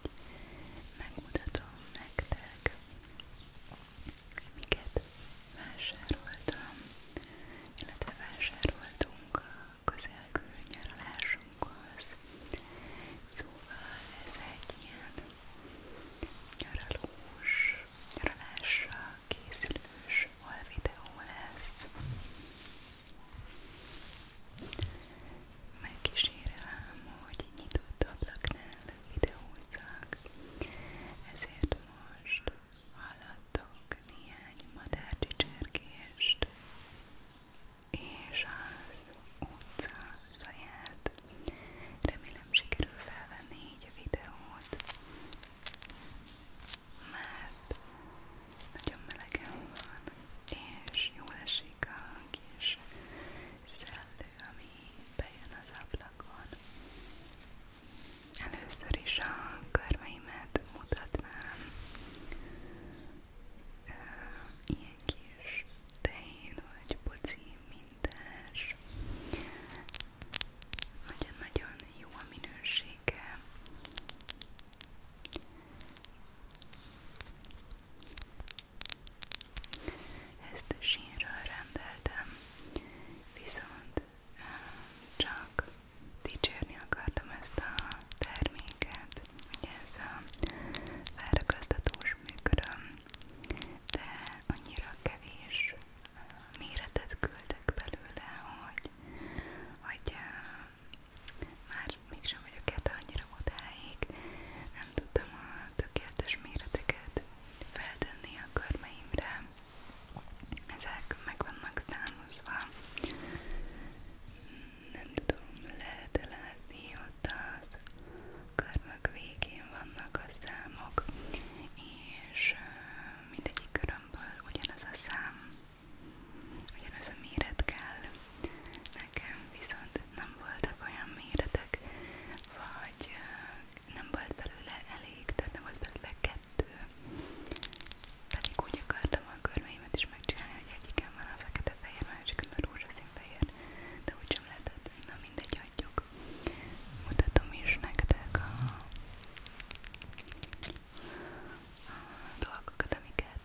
hogy megmutatom nektek, miket vásároltam, illetve vásároltunk a közelgő nyaralásunkhoz. Szóval ez egy ilyen nyaralós, nyaralásra készülős videó lesz. Megkísérelem, hogy nyitott ablaknál videózzak, ezért most hallattok néhány madárcsicsergést és az utca zaját. Remélem sikerül felvenni így a videót, mert nagyon melegen van, és jól esik a kis szellő, ami bejön az ablakon. Először is a körmeimet mutatnám. Ö, ilyen kis tehén vagy poci mintás. Nagyon-nagyon jó a minősége. Ezt sínről rendeltem, viszont csak dicsérni akartam ezt a terméket, ugye ez a felragasztatós műköröm, de annyira kevés méretet küldtek belőle, hogy, hogy már bár mégsem vagyok hát annyira odáig, nem tudtam a tökéletes méreteket feltenni a körmeimre, ezek meg vannak támaszva. Nem tudom, lehet-e látni, ott az körmök végén vannak a számok, és mindegyik körömből ugyanaz a szám, ugyanaz a méret kell, Nekem viszont nem voltak olyan méretek, vagy nem volt belőle elég, tehát nem volt belőle kettő. Pedig úgy akartam a körmeimet is megcsinálni, hogy egyiken van a fekete fehér, másikon a rózsaszín fehér, de úgysem lehetett, na mindegy, adjuk. Mutatom is nektek a, a dolgokat, amiket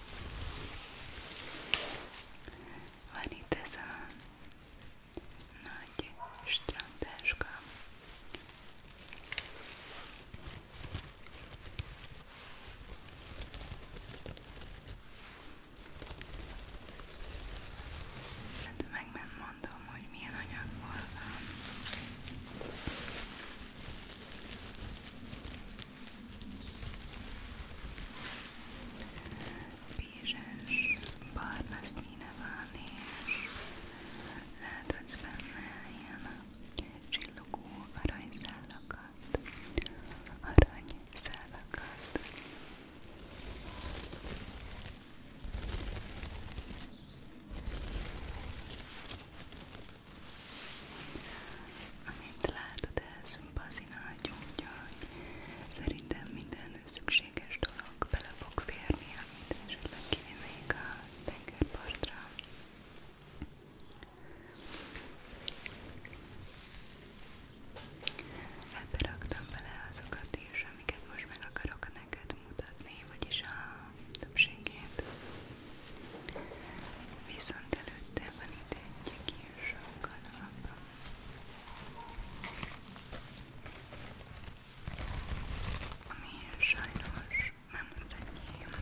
Van itt ez a nagy strandtáska. Hát meg nem mondom, hogy milyen anyagból van. Bízes, barna színe van, és láthatsz benne ilyen csillogó aranyszálakat, aranyszálakat. Amint látod, ez bazina úgyhogy szerintem minden szükséges dolog bele fog férni, amit esetleg kivinnék a tengerpartra. Ebbe raktam bele azokat is, amiket most meg akarok neked mutatni, vagyis a többségét. Viszont előtte van itt egy ilyen sokkal alapra. Ami sajnos nem az enyém.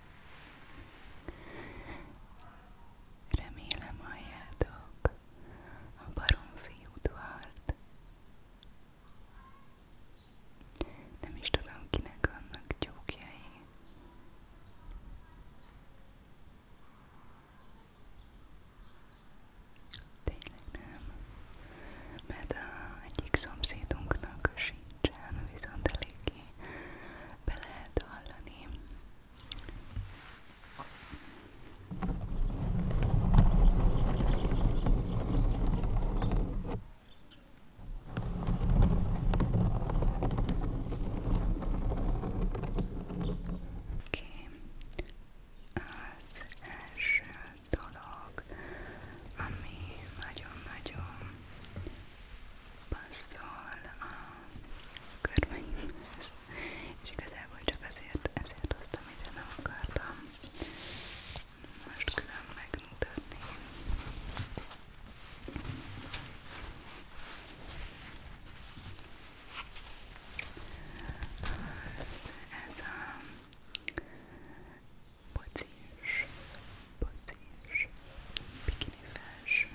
Remélem halljátok a baromfi udvart. Nem is tudom, kinek vannak tyúkjai. Tényleg nem, mert a egyik szomszédunknak sincsen, viszont eléggé be lehet hallani. Okay. Az első dolog, ami nagyon-nagyon passzol a körbeimhez, és igazából csak azért, ezért hoztam ide, nem akartam most külön megmutatni. Ez, ez a pocis patés, bikini felső.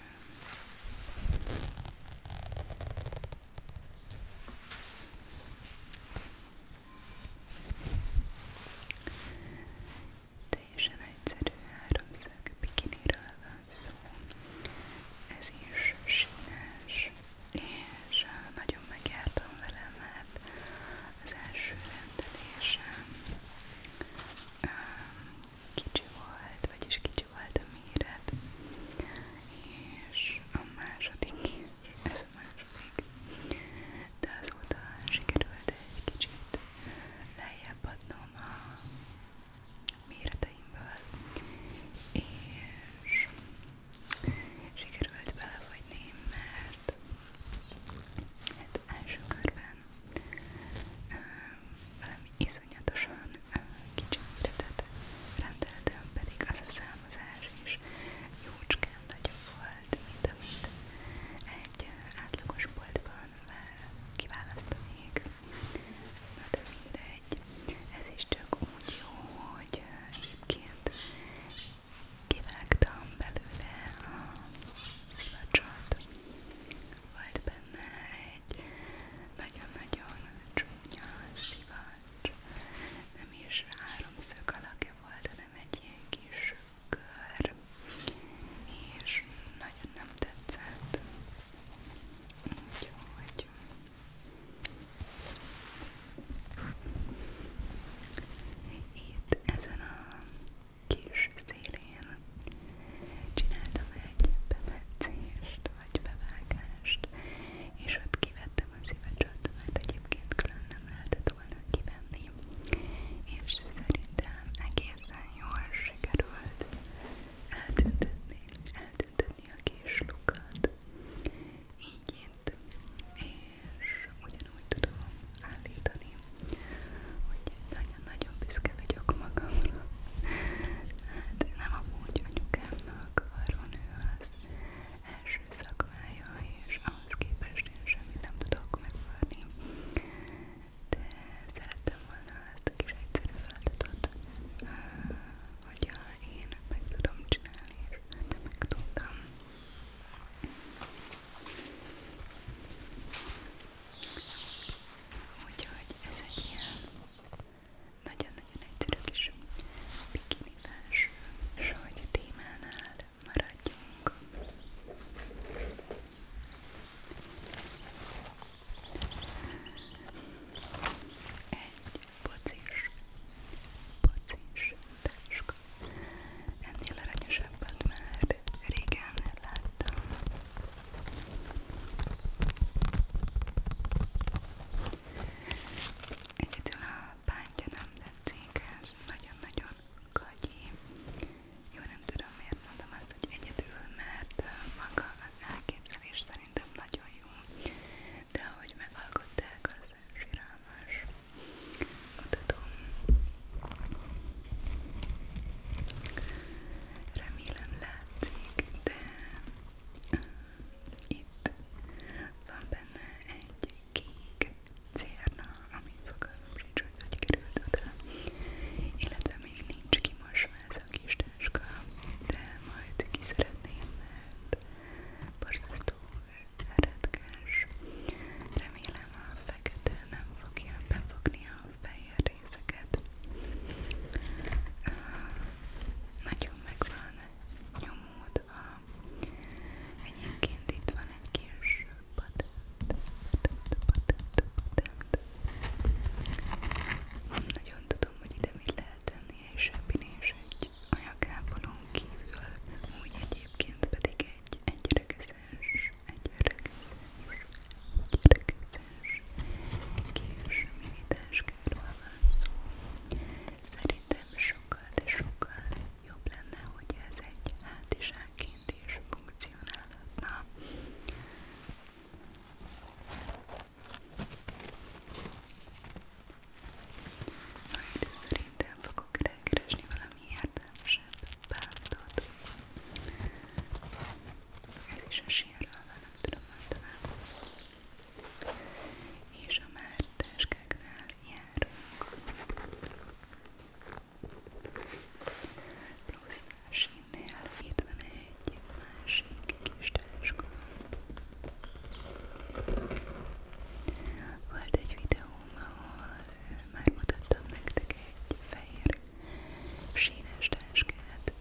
Teljesen egyszerű háromszög bikiniről van szó. Ez is sínes, és nagyon megjártam vele, mert az első rendelésem kicsi volt, vagyis kicsi volt a méret, és a második is, ez a második, de azóta sikerült egy kicsit lejjebb adnom a méreteimből, és sikerült belefagyni, mert hát első körben után valami iszonyatosan kicsi méretet rendeltem, pedig az a számozás is jócskán nagyobb volt, mint amit egy átlagos boltban kiválasztanék. Na de mindegy, ez is csak úgy jó, hogy egyébként kivágtam belőle a szivacsot, volt benne egy nagyon-nagyon csúnya szivacs, nem is háromszög alakja volt, hanem egy ilyen kis kör, és nagyon nem tetszett, úgyhogy... Itt ezen a kis szélén csináltam egy bemetszést, vagy bevágást, és ott kivettem a szívecsot, mert hát egyébként külön nem lehetett volna kivenni, és szerintem egészen jól sikerült eltüntetni, eltüntetni a kis lukat, így itt, és ugyanúgy tudom állítani, Úgyhogy nagyon-nagyon büszke vagyok magamra. Hát nem amúgy anyukámnak, varonő az első szakmája, és ahhoz képest én semmit nem tudok megvárni. De szerettem volna ezt a kis egyszerű feladatot, hogyha én meg tudom csinálni, és de meg tudtam. Úgyhogy ez egy ilyen nagyon-nagyon egyszerű kis bikini felső, és hogy a témánál maradjunk. Egy pocis, pocis táska. Ennél aranyosabbat már már régen láttam. Egyedül a bántja nem tetszik, ez nagyon-nagyon gagyi. Jó, nem tudom miért mondom azt, hogy egyedül, mert maga az elképzelés szerintem nagyon jó. De ahogy megalkották, az síralmas. Mutatom. Remélem látszik, de itt van benne egy kék cérna, ami fogalmam sincs, hogy hogy került oda, illetve még nincs kimosva ez a kis táska, de majd ki szeretném, mert borzasztó eredkes. Remélem szem a fekete nem fogja befogni a fehér részeket. Uh, nagyon megvan nyomódva. Egyébként itt van egy kis patent, patent, patent, patent. Nem nagyon tudom, hogy ide mit lehet tenni egy zsebin és egy anyagápolón kívül. Úgy egyébként pedig egy egyregeszes egy öregizes, egy kis minitáskáról van szó. Szerintem sokkal, de sokkal jobb lenne, hogy ez egy hátizsákként is funkcionálhatna. Majd szerintem fogok rákeresni valami értelmes kevesebb bántod. Ez is a sírral van, nem tudom általában. És a már táskáknál járunk. Plusz a sínnél itt van egy másik kis táska. Volt egy videóm, ahol már mutattam nektek egy fehér sínes táskát,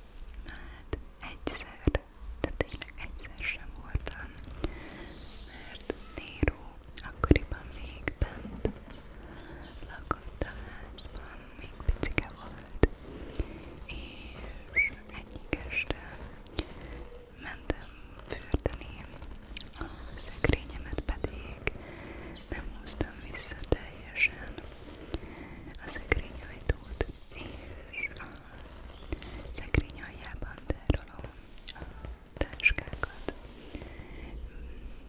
hát egyszer, de tényleg egyszer sem voltam, mert Nero akkoriban még bent lakott a házban, még picike volt, és egyik este mentem fürdeni, a szekrényemet pedig nem húztam vissza teljesen a szekrényajtót, és a szekrény aljában tárolom a táskákat.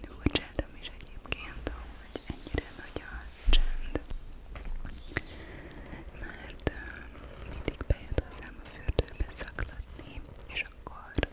Furcsáltam is egyébként, hogy ennyire nagy a csend, mert mindig bejött hozzám a fürdőbe szaklatni, és akkor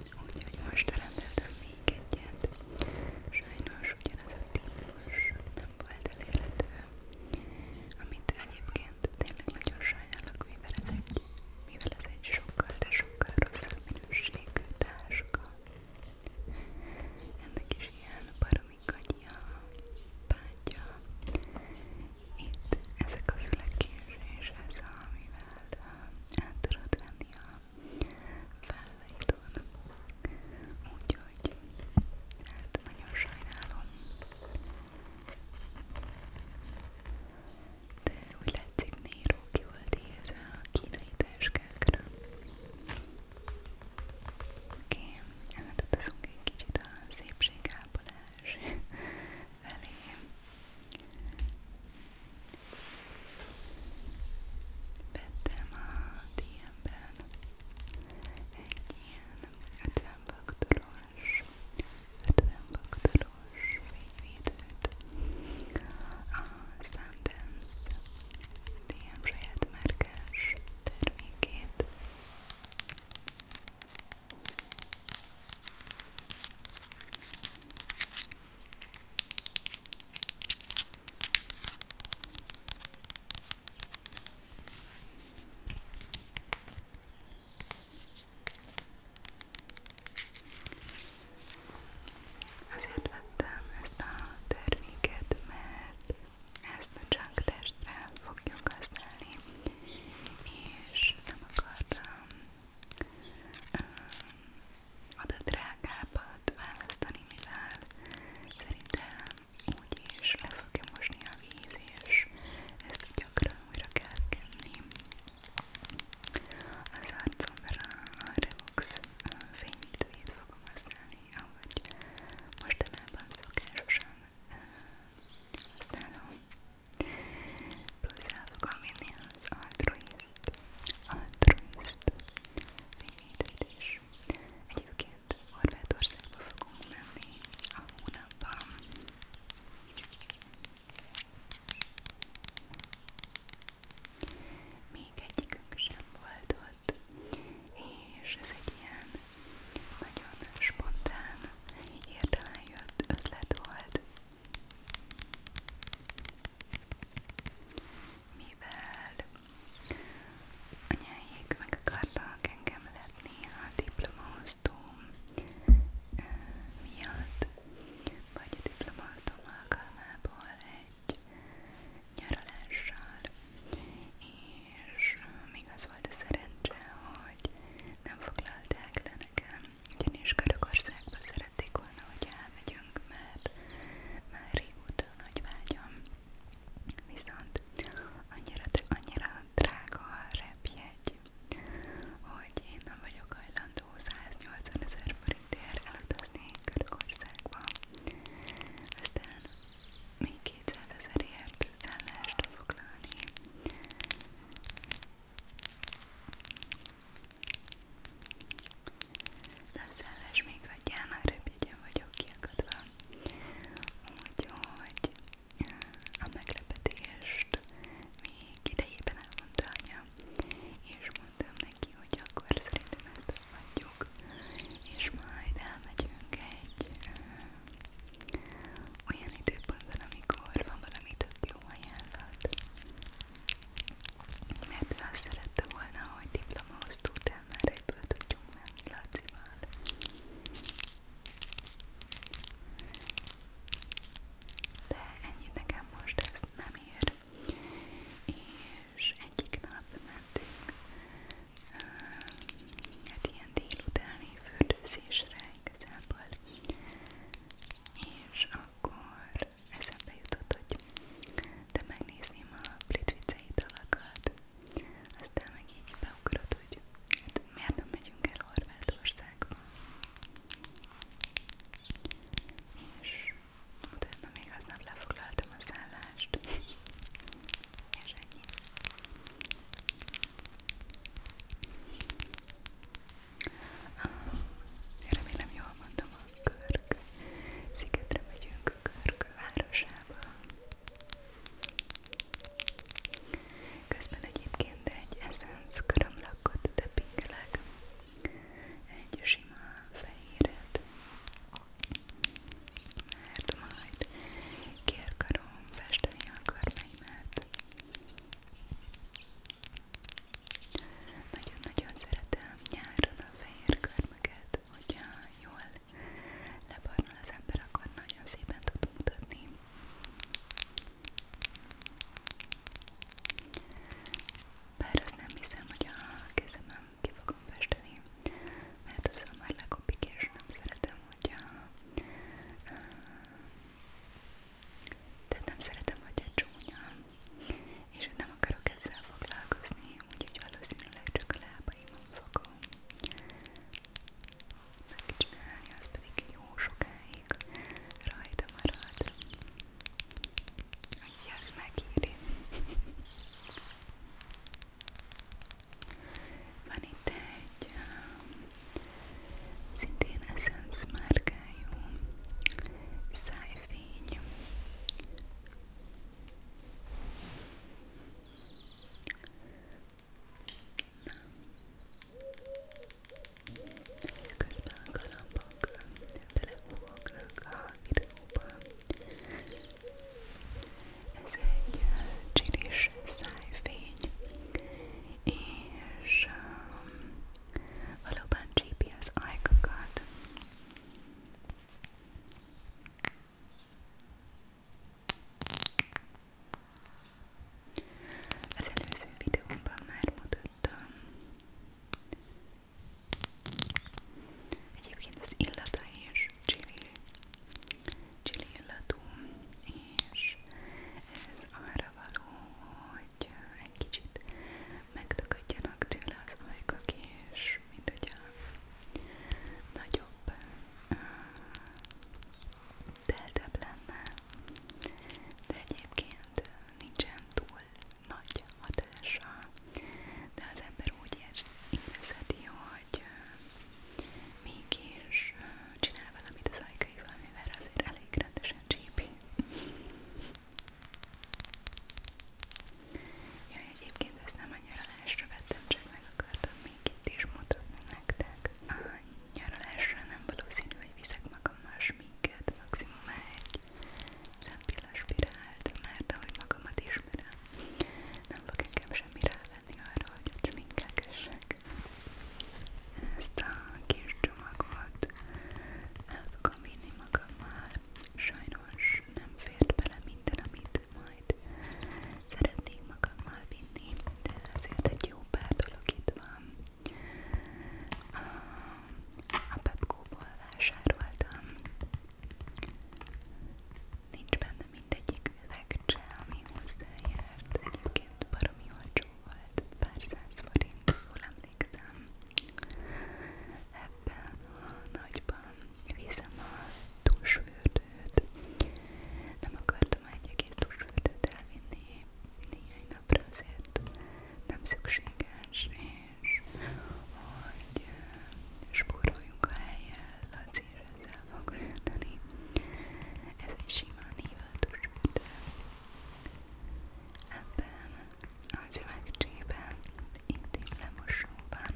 Úgyhogy most rendeltem még egyet. Sajnos ugyanaz a típus nem volt elérhető, amit egyébként tényleg nagyon sajnálok, mivel ez egy, mivel ez egy sokkal, de sokkal rosszabb minőségű táska. Ennek is ilyen baromi kagya, pátya itt ezek a fülekés, és ez a, amivel át tudod venni a vállaidon. Úgyhogy, hát nagyon sajnálom. De úgy látszik, Nero ki volt ez a kínai táskákra. Oké, okay. hát ott azunk egy kicsit a szépségápolás lefelé. Vettem a DM-ben egy ilyen 50 baktoros, 50 baktoros fényvédőt a Sundance DM saját márkás termékét Azért vettem ezt a terméket, mert ezt a junk testre fogjuk használni, és nem akartam ad a drágábbat választani, mivel szerintem úgyis le fogja mosni a víz, és ezt gyakran újra kell kenni. Az arcomra a Revox fényítőjét fogom használni, ahogy mostanában szokásosan használom. Plusz el fogom vinni az altruist, altruist fényvédőt is. Egyébként Horvátországba fogunk menni a hónapban. Még egyikünk sem volt ott, és ez egy ilyen nagyon spontán, hirtelen jött ötlet volt, mivel anyáik meg akartak engem letni a diplomaosztóm miatt, vagy a diplomaosztóm alkalmából egy nyaralással, és még az volt a szerencse, hogy nem foglalták le nekem ugyanis Görögországba szerették volna, hogy elmegyünk, mert már régóta nagy vágyam. Viszont annyira, annyira drága a repjegy, hogy én nem vagyok hajlandó 180 ezer forintért elutazni Görögországba. Aztán még 200 ezerért szállást foglalni. Nem szelves még hagyján, a rövidjön vagyok kiakadva. Úgyhogy a meglepetést még idejében elmondta anya, és mondtam neki, hogy akkor szerintem ezt adjuk, és majd elmegyünk egy olyan időpontban, amikor van valami tök jó ajánlat, mert ő azt szerette volna, hogy diplomahoz tudtál már egyből tudjunk menni Lacival. De ennyit nekem most nem ér. És egyik nap mentünk, hát ilyen délutáni fürdőzésre igazából. És akkor eszembe jutott, hogy de megnézném a plitvicei dalakat, aztán meg így beugrott, hogy hát miért nem megyünk el Horvátországba. És utána még aznap lefoglaltam a szállást. És ennyi. Ah, remélem jól mondtam, a Körk szigetre megyünk, Körk városába. Közben egyébként egy Essence körömlakot tepingelek, egy sima fehéret, mert majd ki akarom festeni a körmeimet nagyon-nagyon szeretem nyáron a fehér körmöket, hogyha jól lebarnul az ember, akkor nagyon szépen tud mutatni. Bár azt nem hiszem, hogy a kezemem ki fogom festeni, mert azzal már lekopik, és nem szeretem, hogyha tehát nem szeretem, hogy egy csúnya, és nem akarok ezzel foglalkozni, úgyhogy valószínűleg csak a lábaimon fogom megcsinálni, az pedig jó sokáig rajta marad. Hogy az megéri. Van itt egy szintén Essence márkájú szájfény. Közben a galambok belefognak a videóba. Ez egy csiris szájfény, és um, valóban GPS ajkakat az előző videóban már mutattam egyébként az illata és chili csili illatú, és ez arra való, hogy egy kicsit megtakadjanak tőle az ajkak, és mint hogy a nagyobb, teltebb lenne, de egyébként nincsen túl nagy hatása, de az ember úgy érzi, érezheti, hogy mégis csinál valamit az ajkaival, mivel azért elég rendesen csípi. Ja, egyébként ezt nem a nyaralásra vettem, csak meg akartam még itt is mutatni nektek. A nyaralásra nem valószínű, hogy viszek magammal sminket, maximum egy szempillas spirált, mert ahogy magamat ismerem, nem fog engem semmi venni arra, hogy a sminkelgessek. Ezt a kis csomagot el fogom vinni magammal. Sajnos nem fért bele minden, amit majd szeretnék magammal vinni, de azért egy jó pár dolog itt van. A, a Pepco-ból vásároltam. Nincs benne mindegyik üvegcse, ami hozzájárt. Egyébként baromi jól olcsó volt, pár száz forint, jól emlékszem. Ebben a nagyban viszem a tusfürdőt. Nem akartam egy egész tusfürdőt elvinni néhány napra, azért nem szükséges, és hogy spóroljunk a helyen, Laci ezzel fog fürdeni. Ez egy sima nívöltös fürdő. Ebben az üvegcsében, intim lemosóban.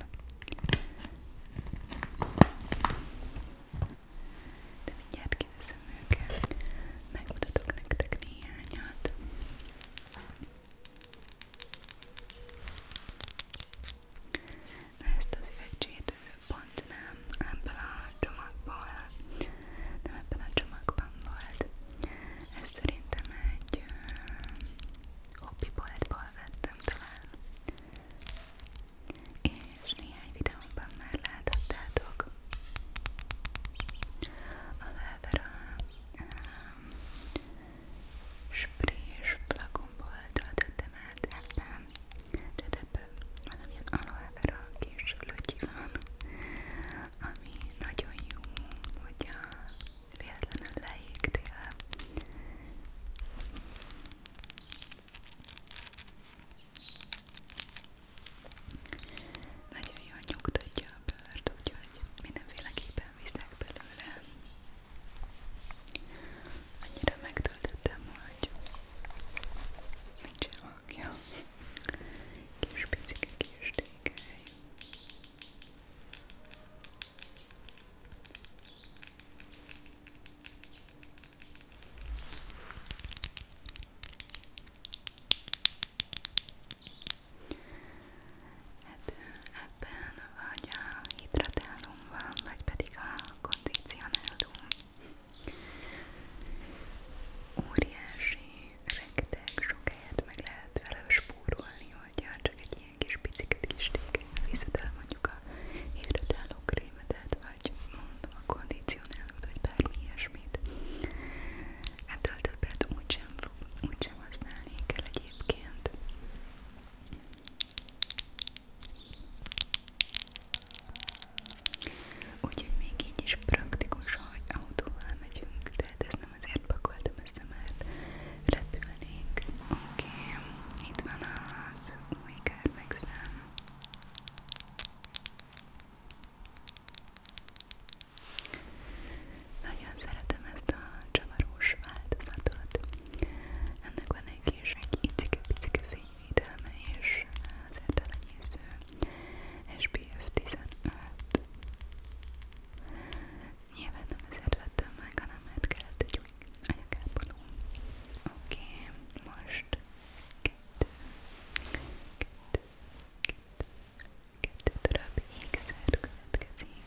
De mindjárt kiveszem őket, megmutatok nektek néhányat. Ezt az üvegcsét pont nem ebben a csomagból, nem ebben a csomagban volt. Ez szerintem egy hobby boltból vettem talán. És néhány videómban már láthattátok. A Levera um, sprés flakonból töltöttem át ebben tehát ebből valamilyen aloe vera kis lötyi van, ami nagyon jó, hogyha véletlenül leégtél. Nagyon jól nyugtatja a bőrt, úgyhogy mindenféleképpen viszek belőle. Annyira megtöltöttem, hogy Nincsen hangja. Kis picike kis tékely. Hát ebben vagy a hidratálum van, vagy pedig a kondicionálum. Óriási, rengeteg sok helyet meg lehet vele spórolni, hogyha csak egy ilyen kis piciket kis téken viszed el mondjuk a hidratáló krémedet, vagy mondom a kondicionálót, vagy bármi ilyesmit. Ettől többet úgysem, úgysem használni kell egyébként. Úgyhogy még így is praktikus, hogy autóval megyünk, tehát ezt nem azért pakoltam össze, mert repülnénk. Oké, okay. itt van az új kármegszám. Nagyon szeretem ezt a csavarós változatot. Ennek van egy kis, egy icike-picike fény védelme és az értelenyésző SPF 15 Nyilván nem ezért vettem meg, hanem mert kellett egy új anyagápoló Oké, okay, most kettő, kettő, kettő, kettő darab ékszer következik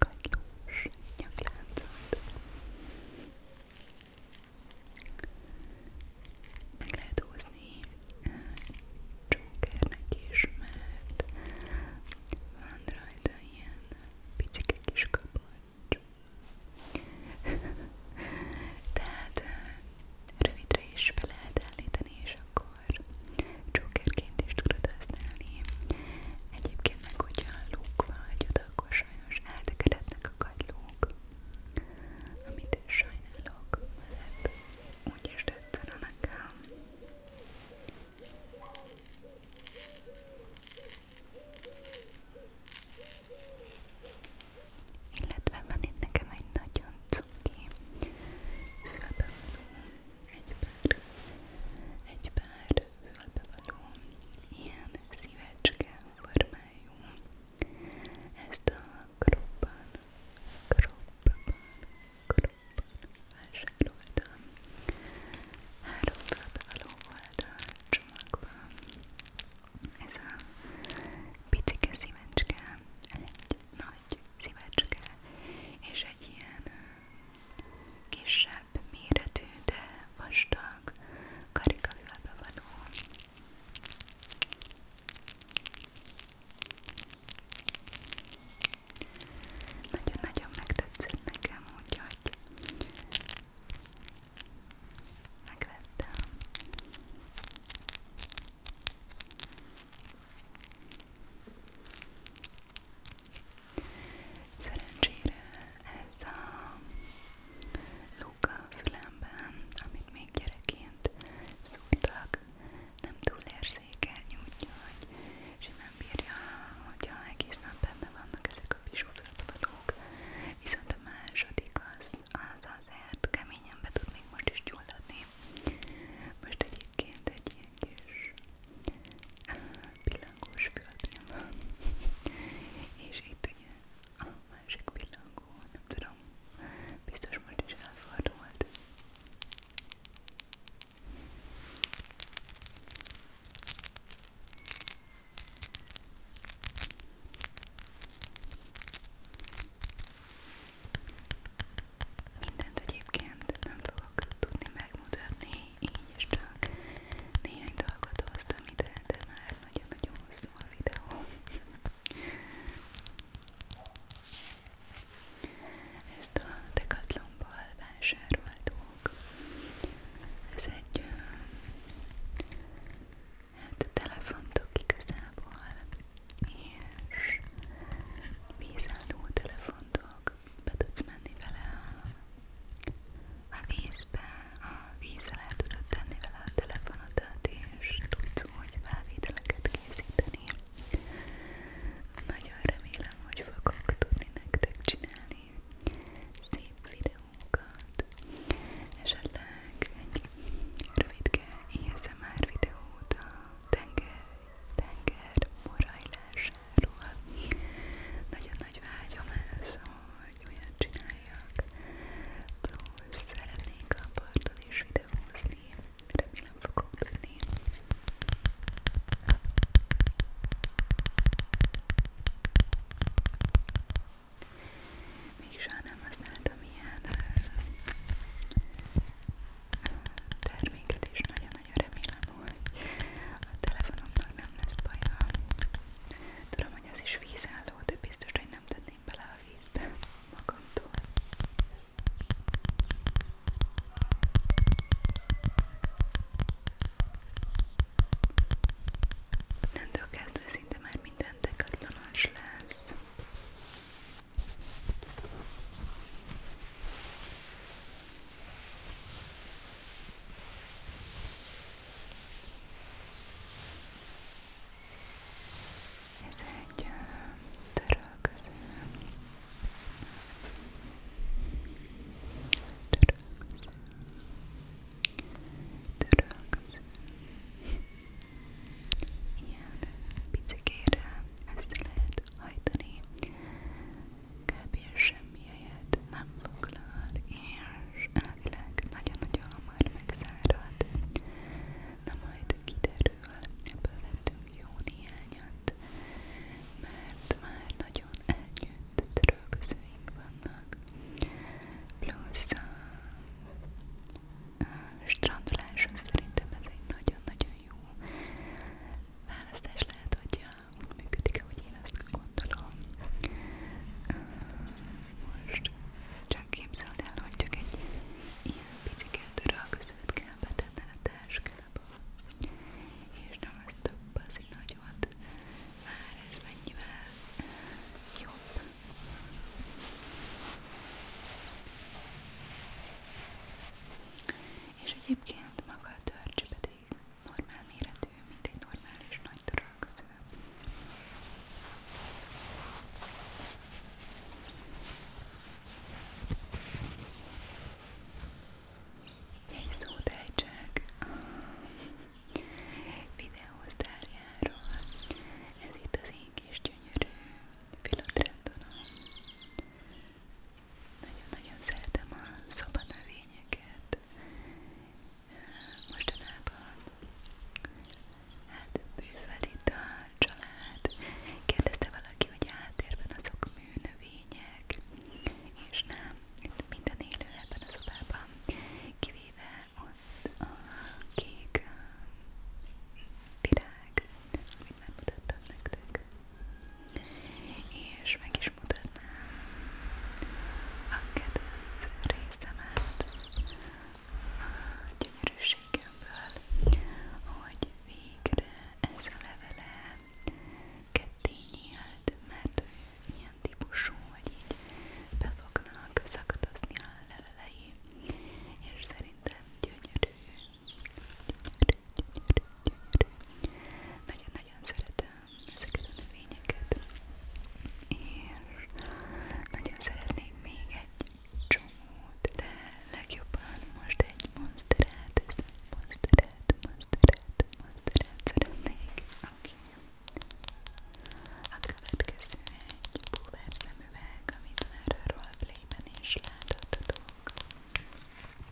kagylós nyakláncot. Meg lehet húzni csókernek is, mert van rajta ilyen picike kis kapocs. Tehát rövidre is be lehet állítani, és akkor Jokerként is tudod használni. Egyébként meg, hogyha lúk vagy oda, akkor sajnos eltekerednek a kagylók, amit sajnálok, mert úgyis tetszene nekem. Illetve van itt nekem egy nagyon cuki fülbevaló, egy pár, egy pár bevaló ilyen szívecske formájú. Ezt a kroppan, kroppan, kroppan vásároltam. Három bevaló volt a csomagban. Ez a picike szívecske, egy nagy szívecske és egy ilyen kisebb méretű, de vastag karikafülbe való. Nagyon-nagyon megtetszett nekem, úgyhogy megvettem. Szerencsére ez a luka a fülemben, amit még gyerekként szúrtak, nem túl érzékeny, úgyhogy simán bírja, hogyha egész nap benne vannak ezek a bizsúfőtvalók, viszont a második az, az azért keményen be tud még most is gyulladni. Most egy egyébként egy ilyen kis pillangós földén van, és itt ugye a másik pillangó, nem tudom, biztos most is elfordult. Mindent egyébként nem fogok tudni megmutatni, így is csak néhány dolgot hoztam ide, de már nagyon-nagyon hosszú a videó. Ezt a Decathlonból vásároltuk. Ez egy hát telefontok igazából és vízálló telefontok be tudsz menni vele a, a vízbe, a víz alá tudod tenni vele a telefonodat, és tudsz úgy felvételeket készíteni. Nagyon remélem, hogy fogok tudni nektek csinálni szép videókat, esetleg egy rövidke ASMR er videót a tenger, tenger morajlás ruha. Nagyon nagy vágyom ez, hogy olyat csináljak. Plusz szeretnék a parton is videózni, remélem fogok tudni. Még soha nem használtam ilyen terméket, és nagyon-nagyon remélem, hogy a telefonomnak nem lesz baja. Tudom, hogy ez is vízálló, de biztos, hogy nem tenném bele a vízbe magamtól. Nentől kezdve szinte már minden dekatlanos lesz. Ez egy törölköző. Törölköző. Törölköző. Ilyen picikére össze lehet hajtani kb. semmi helyet nem foglal, és elvileg nagyon-nagyon hamar megszárad. Na majd kiderül, ebből lettünk jó néhányat, mert már nagyon elnyűjt trölközőink vannak, plusz a, a strandoláshoz szerintem ez egy nagyon-nagyon jó választás lehet, hogyha úgy működik, ahogy én Most csak képzeld el, hogy egy picike törölközőt kell betenned a táskába, és nem az több az nagyot, már ez jobb. És egyébként viszont hát maga a törcs pedig normál méretű, mint egy normális nagy törölköző. Egy szót ejtsek a videósztárjáról. Ez itt az én kis gyönyörű filotrendonom. Nagyon-nagyon szeretem a szobanövényeket. Mostanában hát bővel itt a család. Kérdezte valaki, hogy háttérben azok műnövények, és nem, minden élő ebben a szobában, kivéve ott a kék virág, amit már mutattam nektek és meg is mutatnám a kedvenc részemet a gyönyörűségemből, hogy végre ez a levele ketté nyílt, mert ő ilyen típusú, hogy így be fognak szakadozni a levelei, és szerintem gyönyörű nagyon-nagyon szeretem ezeket a növényeket, és nagyon szeretnék még egy csomót, de legjobban most egy monsterát, ezt monsterát, monsterát, monsterát szeretnék. Oké. Okay. A következő egy búvár szemüveg, amit már a roleplayben is láthatunk.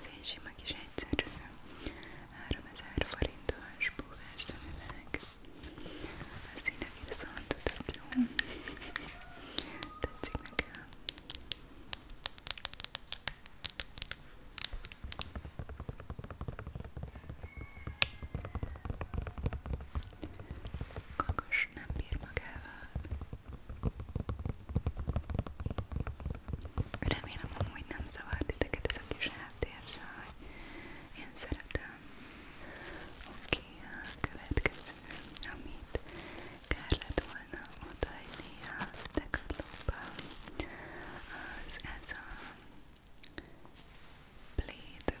Ez egy sima kis egyszerű 3000 forintos búvás szemüveg. A színe viszont tudok jó. Tetszik nekem. Kakos nem bír magával. Remélem amúgy nem zavart titeket ez a kis háttérzaj. Szóval én szeretem. Oké, okay, a következő, amit kár lett volna odaadni a Decathlonba, az ez a Blade.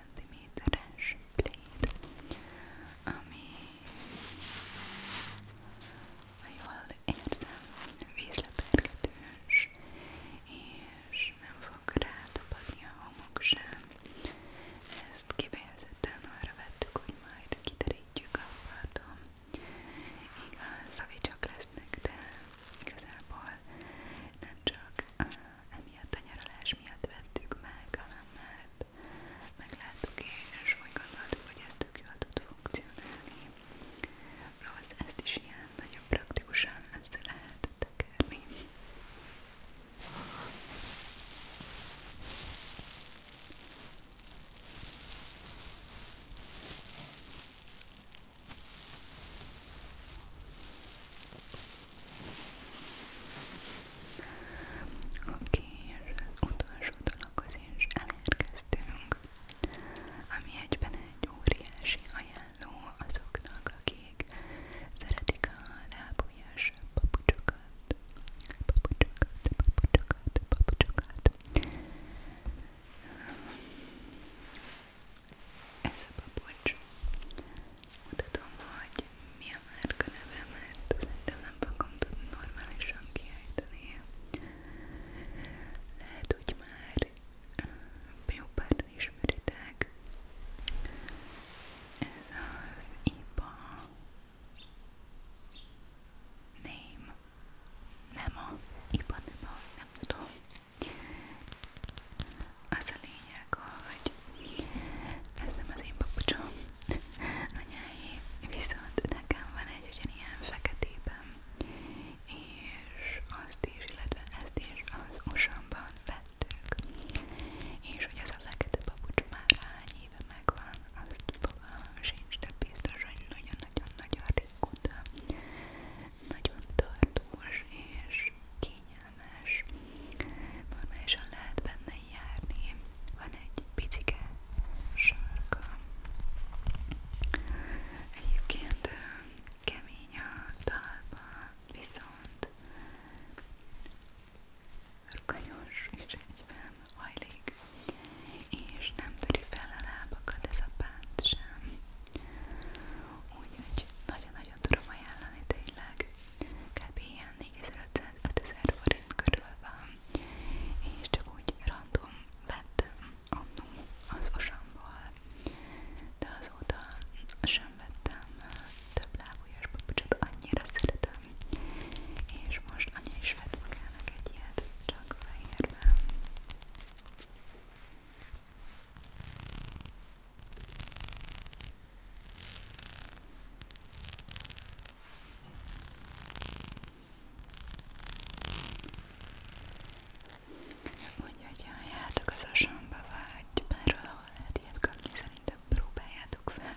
cm-es pléd, ami, ha jól érzem, vízlepergetős, és nem fog rátopadni a homok sem. Ezt kifejezetten arra vettük, hogy majd kiderítjük a parton. Igaz, ami csak lesznek, de igazából nem csak emiatt a nyaralás miatt vettük meg, hanem mert megláttuk és úgy gondoltuk, hogy ez tök jól tud funkcionálni. Rossz, ezt is ilyen nagyon praktikusan össze lehet tekerni. Oké, okay, és az utolsó dologhoz is elérkeztünk, ami egyben egy óriási ajánló azoknak, akik szeretik a lábujjas papucsokat, papucsokat, papucsokat, papucsokat ez a papucs. Mutatom, hogy mi a márka neve, mert szerintem nem fogom tudni normálisan kiejteni. Lehet, hogy már jó páran ismeritek. Ez az IPA name. Nem a IPA, nem a, nem tudom. Az a lényeg, hogy ez nem az én papucsom, anyáé, viszont nekem van egy ugyanilyen feketében, és azt is, illetve ezt is az osamban vettük, és hogy az a fekete papucs már hány éve megvan, azt fogalmam sincs, de biztos, hogy nagyon-nagyon-nagyon régóta nagyon tartós és kényelmes, normálisan lehet benne járni, van egy picike sarka. Egyébként kemény a talpa, viszont rukanyos és egyben hajlik, és nem töri fel a lábakat ez a pánt sem. Úgyhogy nagyon-nagyon nagyon tudom ajánlani tényleg. Kb. ilyen 4500-5000 forint körül van, és csak úgy random vettem annó az osamból, de azóta sem vettem több lábújas papucsot, annyira szeretem, és most anya is vett magának egy ilyet, csak fehérben. Mondja, hogy járjátok az asamba vagy bárhol, ahol lehet ilyet kapni, szerintem próbáljátok fel.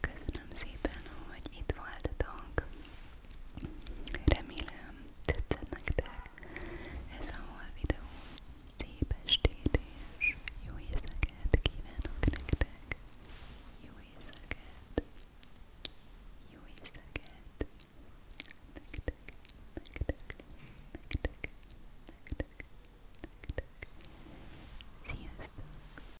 Köszönöm szépen, hogy itt voltatok. Remélem tetszett nektek ez a hol videó. Szép estét és jó éjszakát kívánok nektek. Jó éjszakát. Jó éjszakát. Nektek, nektek, nektek, nektek, nektek. Sziasztok.